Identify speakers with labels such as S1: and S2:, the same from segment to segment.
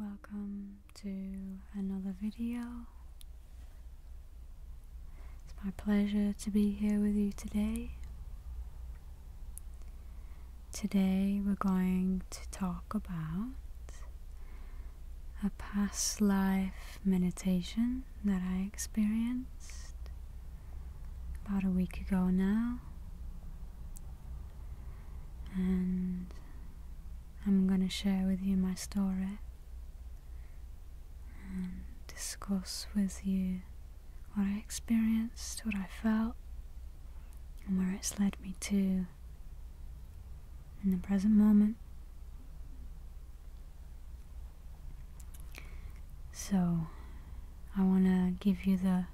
S1: Welcome to another video it's my pleasure to be here with you today. Today we're going to talk about a past life meditation that I experienced about a week ago now. And I'm going to share with you my story and discuss with you what I experienced, what I felt, and where it's led me to in the present moment. So, I want to give you the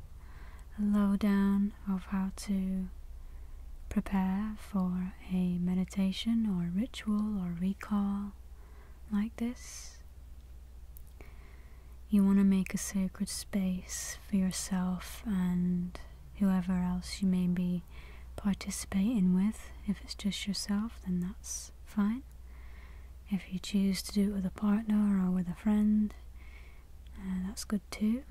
S1: lowdown of how to prepare for a meditation or ritual or recall like this. You want to make a sacred space for yourself and whoever else you may be participating with. If it's just yourself, then that's fine. If you choose to do it with a partner or with a friend, uh, that's good too.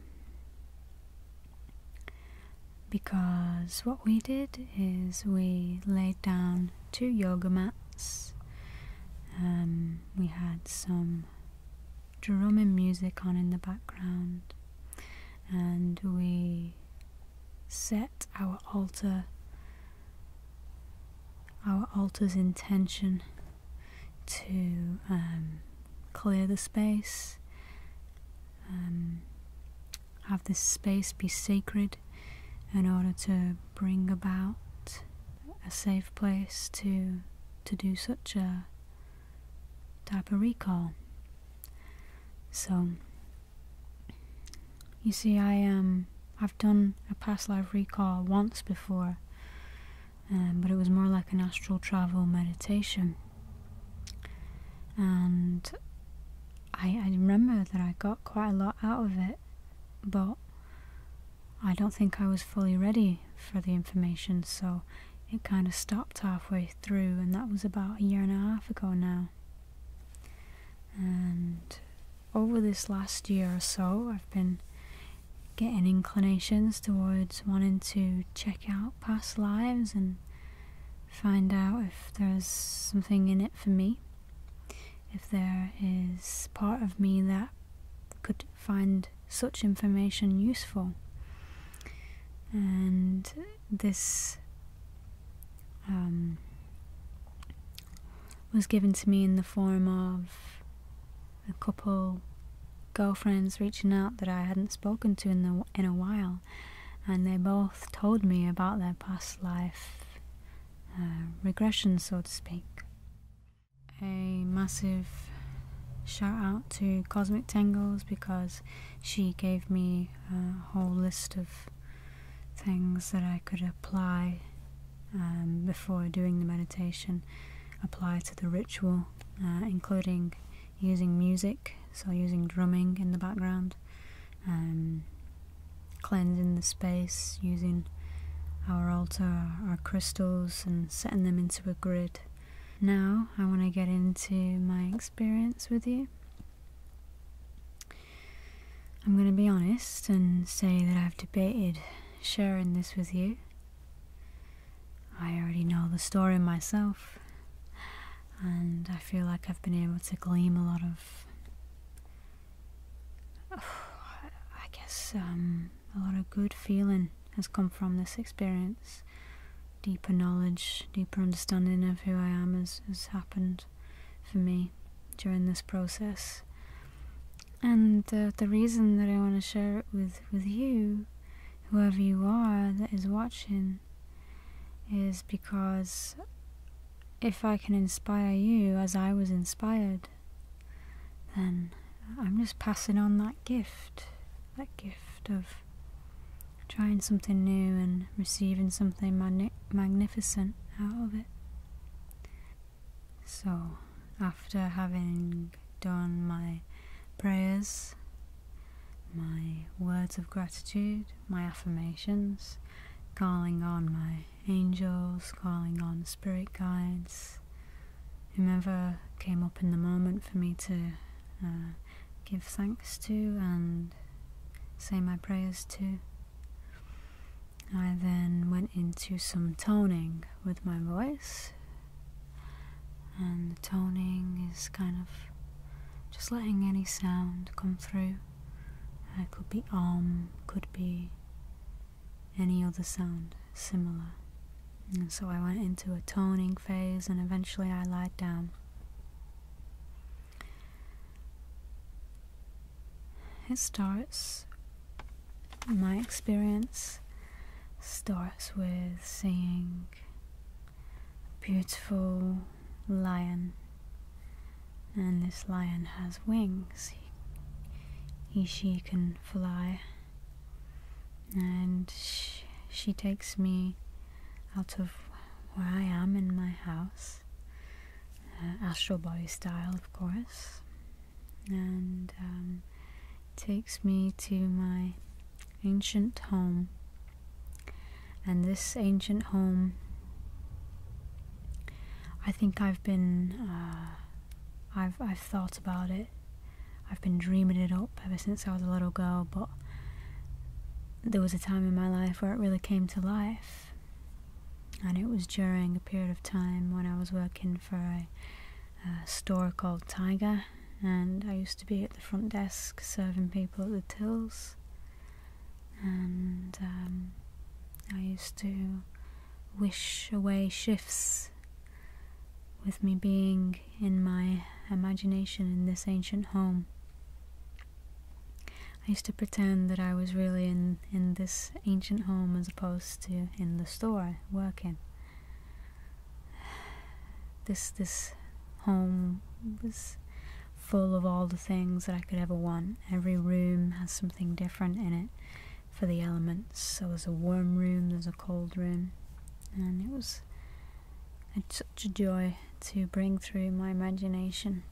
S1: Because what we did is we laid down two yoga mats. Um, we had some drum music on in the background, and we set our altar, our altar's intention to um, clear the space, um, have this space be sacred in order to bring about a safe place to to do such a type of recall. So you see I um I've done a past life recall once before um, but it was more like an astral travel meditation and I, I remember that I got quite a lot out of it but I don't think I was fully ready for the information, so it kind of stopped halfway through, and that was about a year and a half ago now. And over this last year or so, I've been getting inclinations towards wanting to check out past lives and find out if there's something in it for me if there is part of me that could find such information useful. And this um, was given to me in the form of a couple girlfriends reaching out that I hadn't spoken to in in a while, and they both told me about their past life uh, regression, so to speak. A massive shout out to Cosmic Tangles because she gave me a whole list of things that I could apply um, before doing the meditation, apply to the ritual, uh, including using music, so using drumming in the background and um, cleansing the space using our altar, our crystals, and setting them into a grid. Now, I want to get into my experience with you. I'm going to be honest and say that I've debated sharing this with you. I already know the story myself, and I feel like I've been able to glean a lot of I guess um, a lot of good feeling has come from this experience. Deeper knowledge, deeper understanding of who I am has, has happened for me during this process. And the reason that I want to share it with, with you, whoever you are that is watching, is because if I can inspire you as I was inspired, then I'm just passing on that gift, that gift of trying something new and receiving something magnificent out of it. So, after having done my prayers, my words of gratitude, my affirmations, calling on my angels, calling on spirit guides, whoever came up in the moment for me to uh, give thanks to and say my prayers to. I then went into some toning with my voice, and the toning is kind of just letting any sound come through it could be om, could be any other sound similar. so I went into a toning phase and eventually I lied down. It starts, my experience starts with seeing a beautiful lion and this lion has wings. He, she can fly. And she, takes me out of where I am in my house, uh, astral body style, of course, and um, takes me to my ancient home. And this ancient home I think I've been, uh, I've, I've thought about it. I've been dreaming it up ever since I was a little girl, but there was a time in my life where it really came to life. And it was during a period of time when I was working for a, store called Tiger, and I used to be at the front desk serving people at the tills. And um, I used to wish away shifts with me being in my imagination in this ancient home. I used to pretend that I was really in, in this ancient home as opposed to in the store working. This this home was full of all the things that I could ever want. Every room has something different in it for the elements. So there's a warm room, there's a cold room, and it was such a joy to bring through my imagination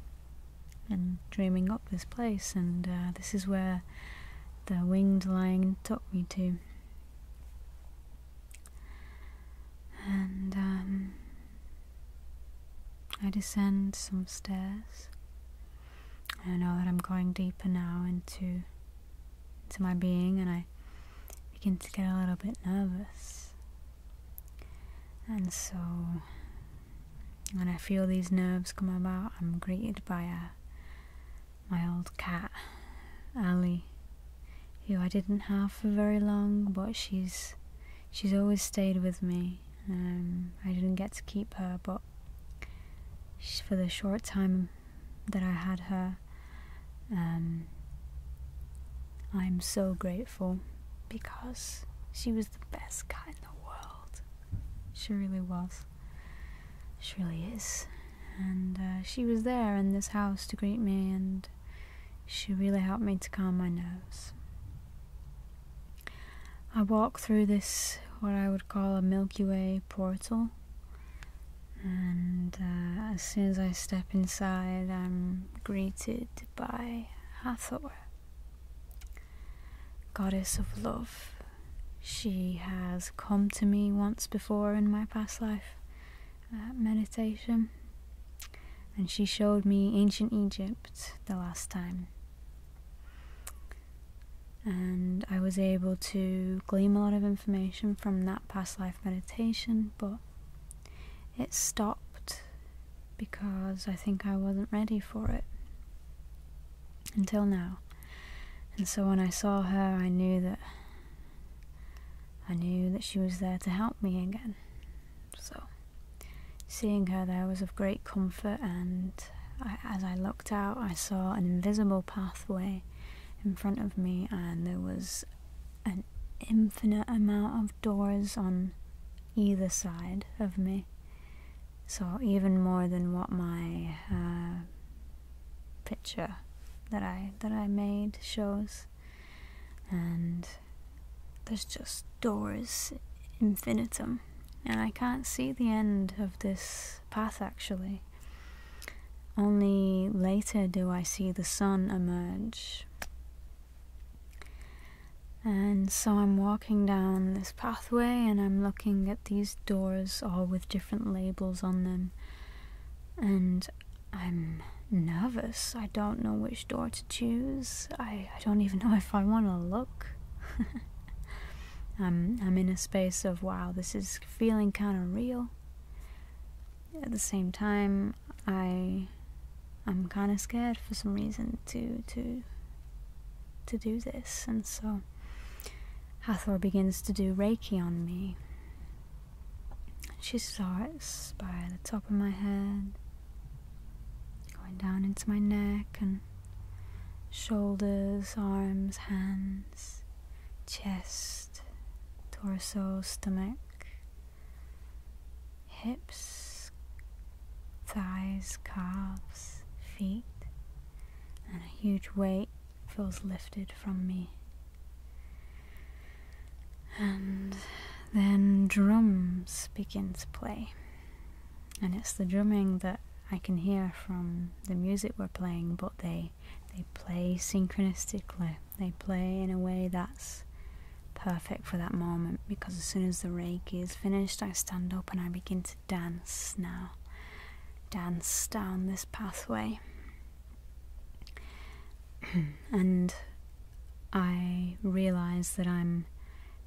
S1: and dreaming up this place. And uh, this is where the winged lion took me to. And um, I descend some stairs I know that I'm going deeper now into into my being and I begin to get a little bit nervous. And so when I feel these nerves come about, I'm greeted by a, my old cat, Ali, who I didn't have for very long, but she's she's always stayed with me. Um, I didn't get to keep her, but for the short time that I had her. Um, I'm so grateful because she was the best cat in the world. She really was. She really is. And uh, she was there in this house to greet me, and she really helped me to calm my nerves. I walk through this, what I would call a Milky Way portal, and uh, as soon as I step inside, I'm greeted by Hathor, goddess of love. She has come to me once before in my past life uh, meditation, and she showed me ancient Egypt the last time and I was able to glean a lot of information from that past life meditation, but it stopped because I think I wasn't ready for it until now. And so when I saw her, I knew that I knew that she was there to help me again. So seeing her there was of great comfort and as I looked out, I saw an invisible pathway in front of me, and there was an infinite amount of doors on either side of me. So, even more than what my uh, picture that I that I made shows, and there's just doors infinitum and I can't see the end of this path actually. Only later do I see the sun emerge. And so I'm walking down this pathway and I'm looking at these doors, all with different labels on them. And I'm nervous. I don't know which door to choose. I, don't even know if I want to look. I'm I'm in a space of wow, this is feeling kind of real. At the same time, I I'm kind of scared for some reason to to to do this, and so Hathor begins to do Reiki on me. She starts by the top of my head, going down into my neck, and shoulders, arms, hands, chest, torso, stomach, hips, thighs, calves, feet, and a huge weight feels lifted from me. And then drums begin to play and it's the drumming that I can hear from the music we're playing, but they they play synchronistically. They play in a way that's perfect for that moment because as soon as the reiki is finished, I stand up and I begin to dance now. Dance down this pathway. and I realize that I'm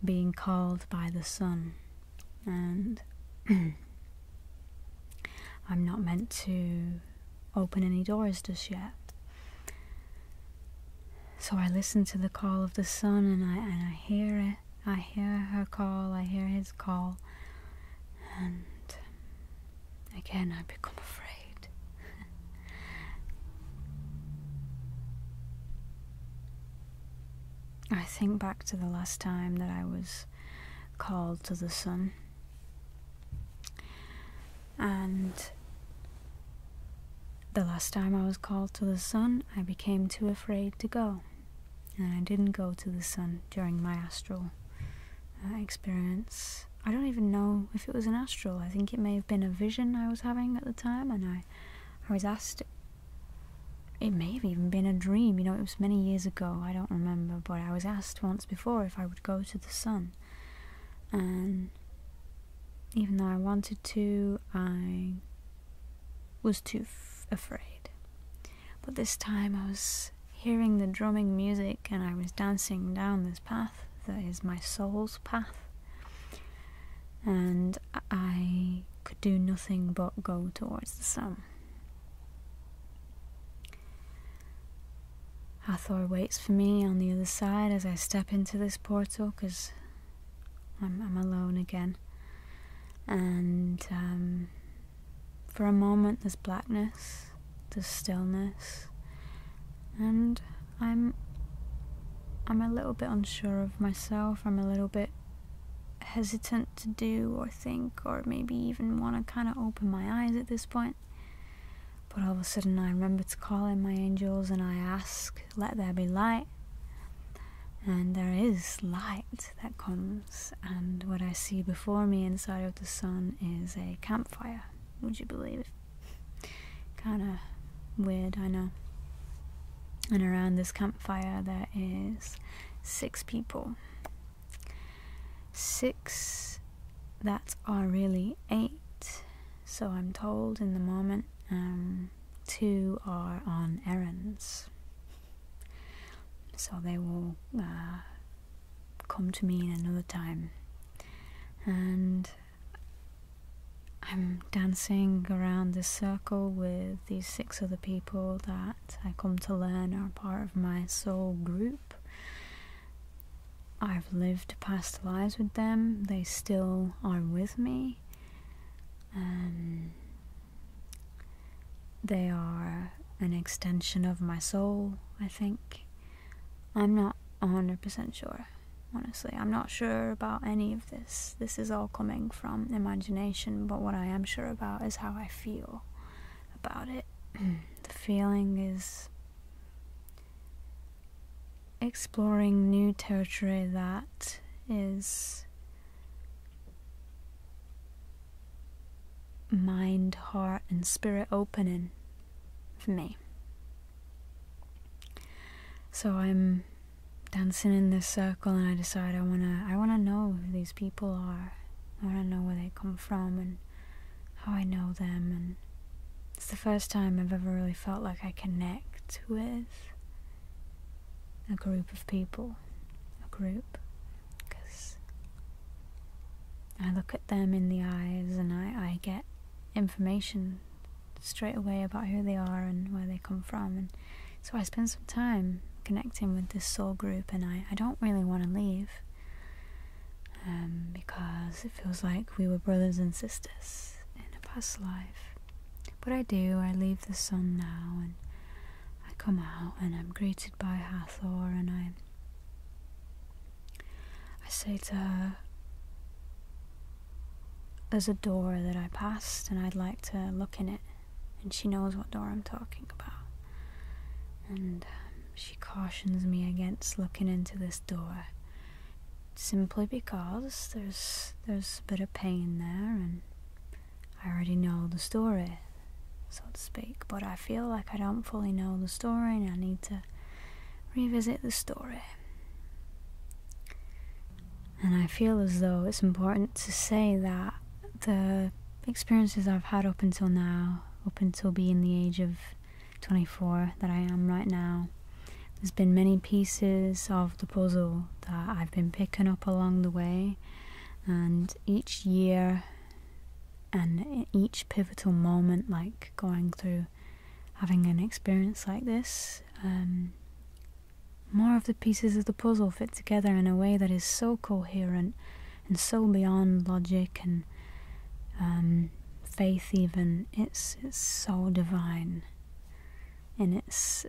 S1: being called by the sun and I'm not meant to open any doors just yet. So I listen to the call of the sun and I and I hear it. I hear her call, I hear his call. And again I become afraid. I think back to the last time that I was called to the sun. And the last time I was called to the sun, I became too afraid to go. And I didn't go to the sun during my astral uh, experience. I don't even know if it was an astral. I think it may have been a vision I was having at the time, and I, I was asked it may have even been a dream, you know, it was many years ago, I don't remember, but I was asked once before if I would go to the sun. And even though I wanted to, I was too afraid. But this time I was hearing the drumming music and I was dancing down this path that is my soul's path. And I could do nothing but go towards the sun. Hathor waits for me on the other side as I step into this portal because I'm, alone again. And um, for a moment, there's blackness, there's stillness, and I'm I'm a little bit unsure of myself. I'm a little bit hesitant to do or think or maybe even want to kind of open my eyes at this point. But all of a sudden, I remember to call in my angels and I ask, Let there be light. And there is light that comes, and what I see before me inside of the sun is a campfire. Would you believe it? kind of weird, I know. And around this campfire, there is six people Six, that's are really eight, so I'm told in the moment. Um, two are on errands, so they will uh, come to me in another time. And I'm dancing around this circle with these six other people that I come to learn are part of my soul group. I've lived past lives with them, they still are with me. Um, they are an extension of my soul, I think. I'm not 100% sure, honestly. I'm not sure about any of this. This is all coming from imagination, but what I am sure about is how I feel about it. the feeling is exploring new territory that is mind, heart, and spirit opening for me. So I'm dancing in this circle and I decide I wanna I wanna know who these people are I want to know where they come from and how I know them. And it's the first time I've ever really felt like I connect with a group of people, a group, because I look at them in the eyes and I, get information straight away about who they are and where they come from. So I spend some time connecting with this soul group, and I, I don't really want to leave um, because it feels like we were brothers and sisters in a past life. But I do, I leave the sun now, and I come out, and I'm greeted by Hathor, and I, I say to her, there's a door that I passed and I'd like to look in it and she knows what door I'm talking about. And um, she cautions me against looking into this door simply because there's there's a bit of pain there and I already know the story, so to speak, but I feel like I don't fully know the story and I need to revisit the story. And I feel as though it's important to say that the experiences I've had up until now, up until being the age of 24 that I am right now, there's been many pieces of the puzzle that I've been picking up along the way, and each year and each pivotal moment, like going through having an experience like this, um, more of the pieces of the puzzle fit together in a way that is so coherent and so beyond logic and um, faith even it's, it's so divine in its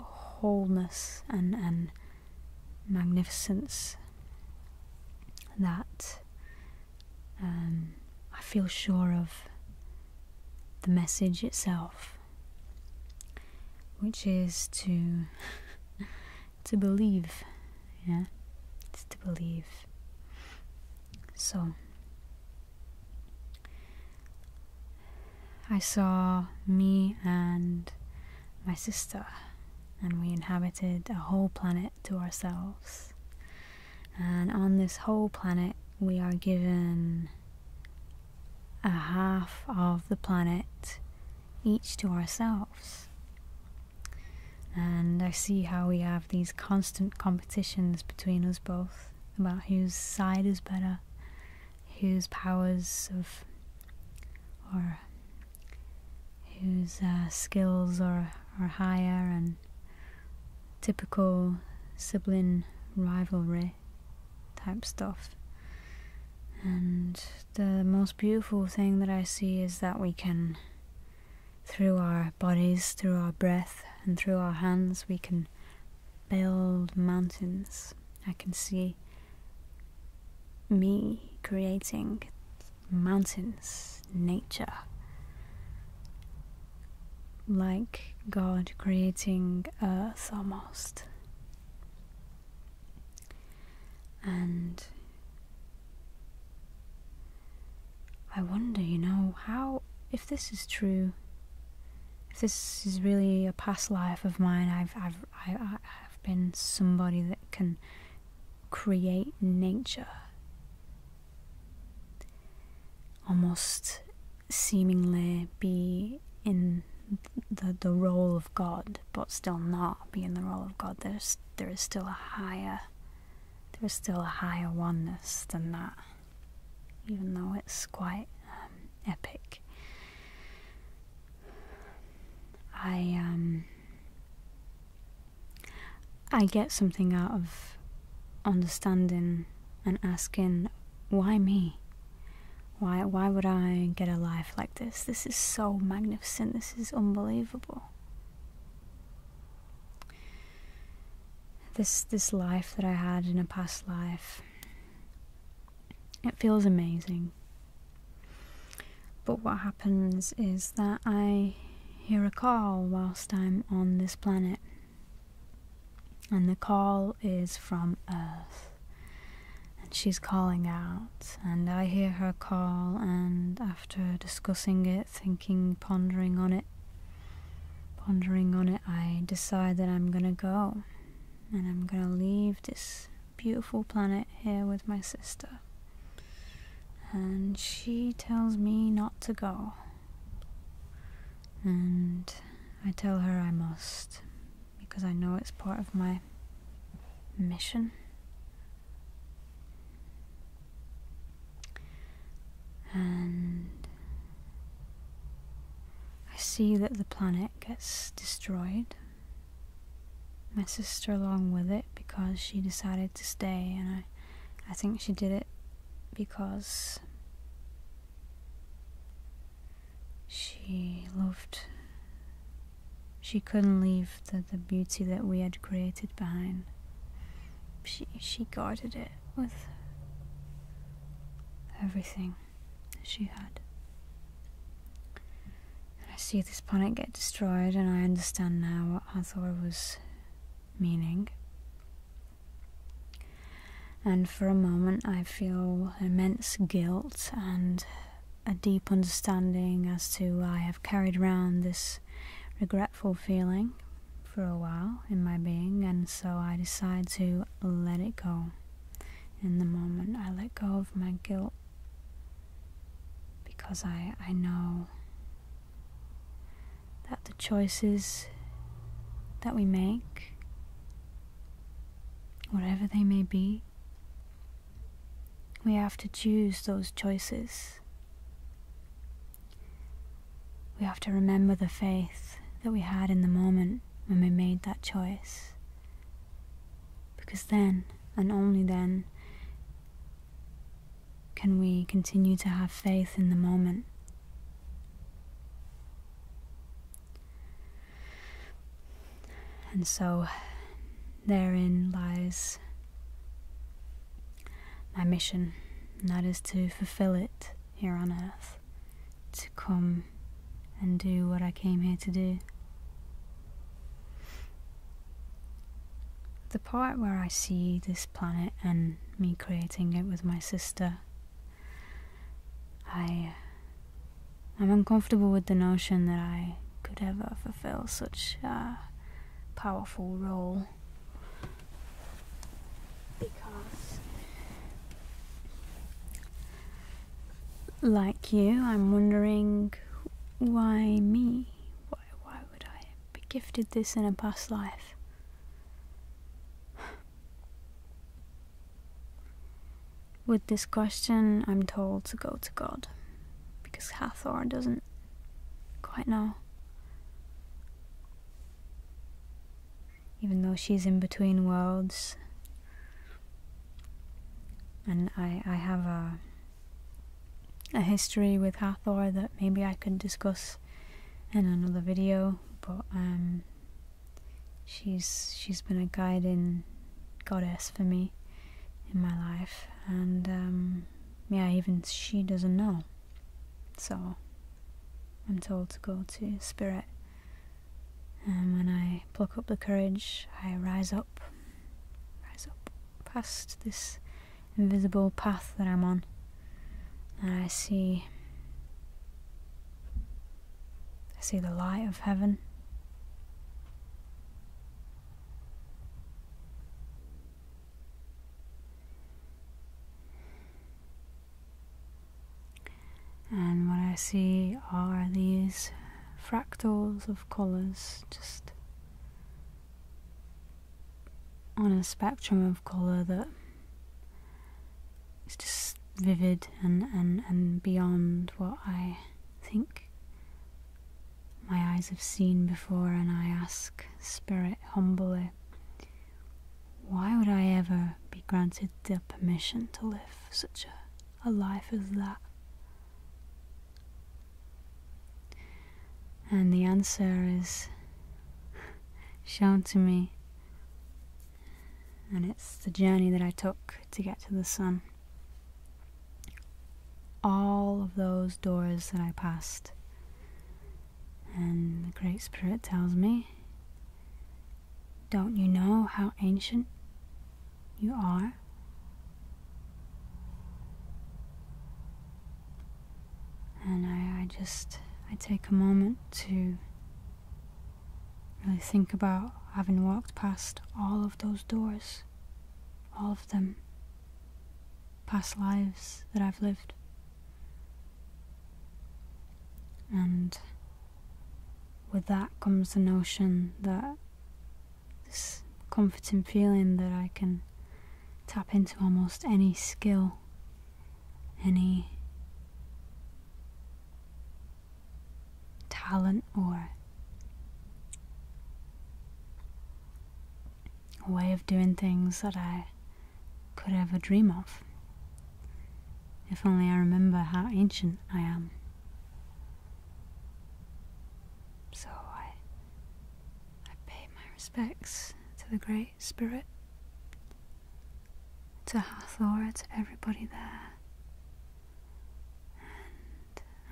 S1: wholeness and, and magnificence that um, I feel sure of the message itself which is to to believe yeah to believe so I saw me and my sister and we inhabited a whole planet to ourselves and on this whole planet we are given a half of the planet each to ourselves. And I see how we have these constant competitions between us both about whose side is better, whose powers of, or whose uh, skills are, are higher, and typical sibling rivalry type stuff. And the most beautiful thing that I see is that we can, through our bodies, through our breath, and through our hands, we can build mountains. I can see me creating mountains, nature, like God creating earth almost. And I wonder, you know, how, if this is true, if this is really a past life of mine, I've, I've, I, have i have i have been somebody that can create nature almost seemingly be in the, the role of God, but still not be in the role of God. There's there is still a higher there is still a higher oneness than that, even though it's quite um, epic. I um I get something out of understanding and asking why me why why would I get a life like this? This is so magnificent. This is unbelievable. This this life that I had in a past life. It feels amazing. But what happens is that I hear a call whilst I'm on this planet. And the call is from Earth and she's calling out, and I hear her call, and after discussing it, thinking, pondering on it, pondering on it, I decide that I'm gonna go and I'm gonna leave this beautiful planet here with my sister. And she tells me not to go. And I tell her I must because I know it's part of my mission. And I see that the planet gets destroyed. My sister along with it because she decided to stay and I I think she did it because she loved she couldn't leave the, the beauty that we had created behind. She, she guarded it with everything she had. I see this planet get destroyed, and I understand now what Hathor was meaning. And for a moment, I feel immense guilt and a deep understanding as to why I've carried around this regretful feeling for a while in my being, and so I decide to let it go. In the moment, I let go of my guilt because I, I know that the choices that we make, whatever they may be, we have to choose those choices. We have to remember the faith that we had in the moment when we made that choice. Because then, and only then, can we continue to have faith in the moment. And so therein lies my mission, and that is to fulfill it here on earth, to come and do what I came here to do. The part where I see this planet and me creating it with my sister, I I'm uncomfortable with the notion that I could ever fulfill such a powerful role. Because, like you, I'm wondering why me? Why, why would I be gifted this in a past life? With this question, I'm told to go to God because Hathor doesn't quite know. Even though she's in between worlds, and I, I have a a history with Hathor that maybe I could discuss in another video, but um, she's she's been a guiding goddess for me in my life, and um, yeah, even she doesn't know. So I'm told to go to spirit, and when I pluck up the courage, I rise up, rise up past this invisible path that I'm on, and I see. I see the light of heaven. And what I see are these fractals of colours just on a spectrum of colour that is just vivid and, and, and beyond what I think my eyes have seen before, and I ask Spirit humbly, Why would I ever be granted the permission to live such a, a life as that? And the answer is shown to me, and it's the journey that I took to get to the sun all of those doors that I passed. And the Great Spirit tells me, Don't you know how ancient you are? And I, I just, I take a moment to really think about having walked past all of those doors, all them, past lives that I've lived. And with that comes the notion that this comforting feeling that I can tap into almost any skill, any talent or a way of doing things that I could ever dream of. If only I remember how ancient I am. So I, I pay my respects to the Great Spirit, to Hathor, to everybody there,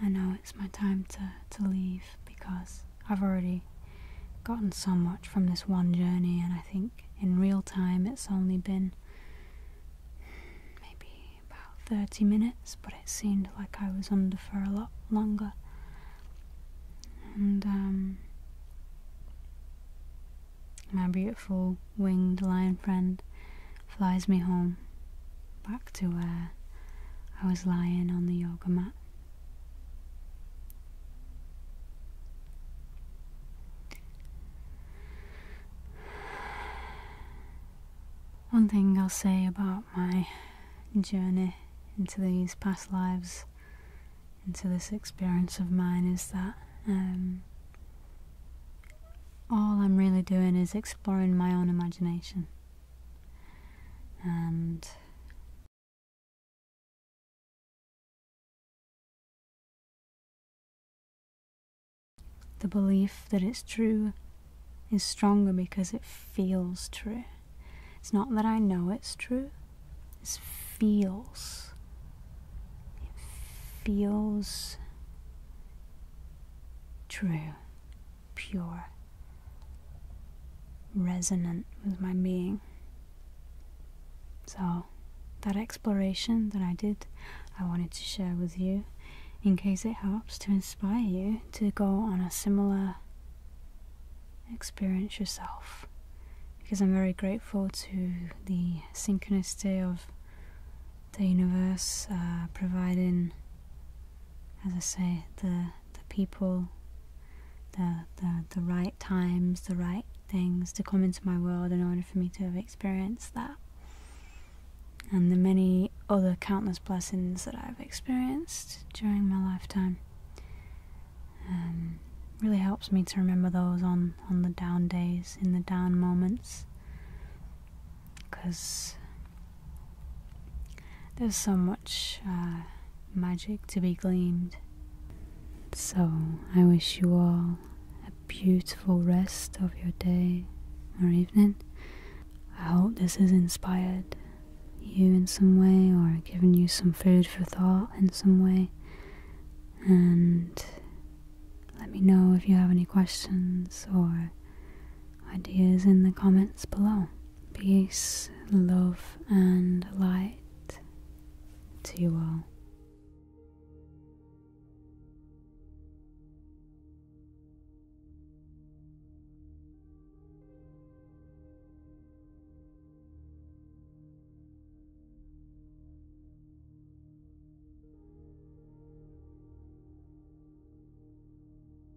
S1: and I know it's my time to, to leave because I've already gotten so much from this one journey, and I think in real time it's only been maybe about 30 minutes, but it seemed like I was under for a lot longer. And um, my beautiful winged lion friend flies me home back to where I was lying on the yoga mat. One thing I'll say about my journey into these past lives, into this experience of mine, is that um, all I'm really doing is exploring my own imagination and the belief that it's true is stronger because it feels true. It's not that I know it's true, it feels. It feels true pure, resonant with my being. So, that exploration that I did, I wanted to share with you in case it helps to inspire you to go on a similar experience yourself. Because I'm very grateful to the synchronicity of the universe uh, providing as I say, the the people, the the the right times, the right things to come into my world in order for me to have experienced that. And the many other countless blessings that I've experienced during my lifetime. Um, really helps me to remember those on, on the down days, in the down moments. Because there's so much uh, magic to be gleaned. So, I wish you all a beautiful rest of your day or evening. I hope this has inspired you in some way or given you some food for thought in some way. And let me know if you have any questions or ideas in the comments below. Peace, love, and light to you all.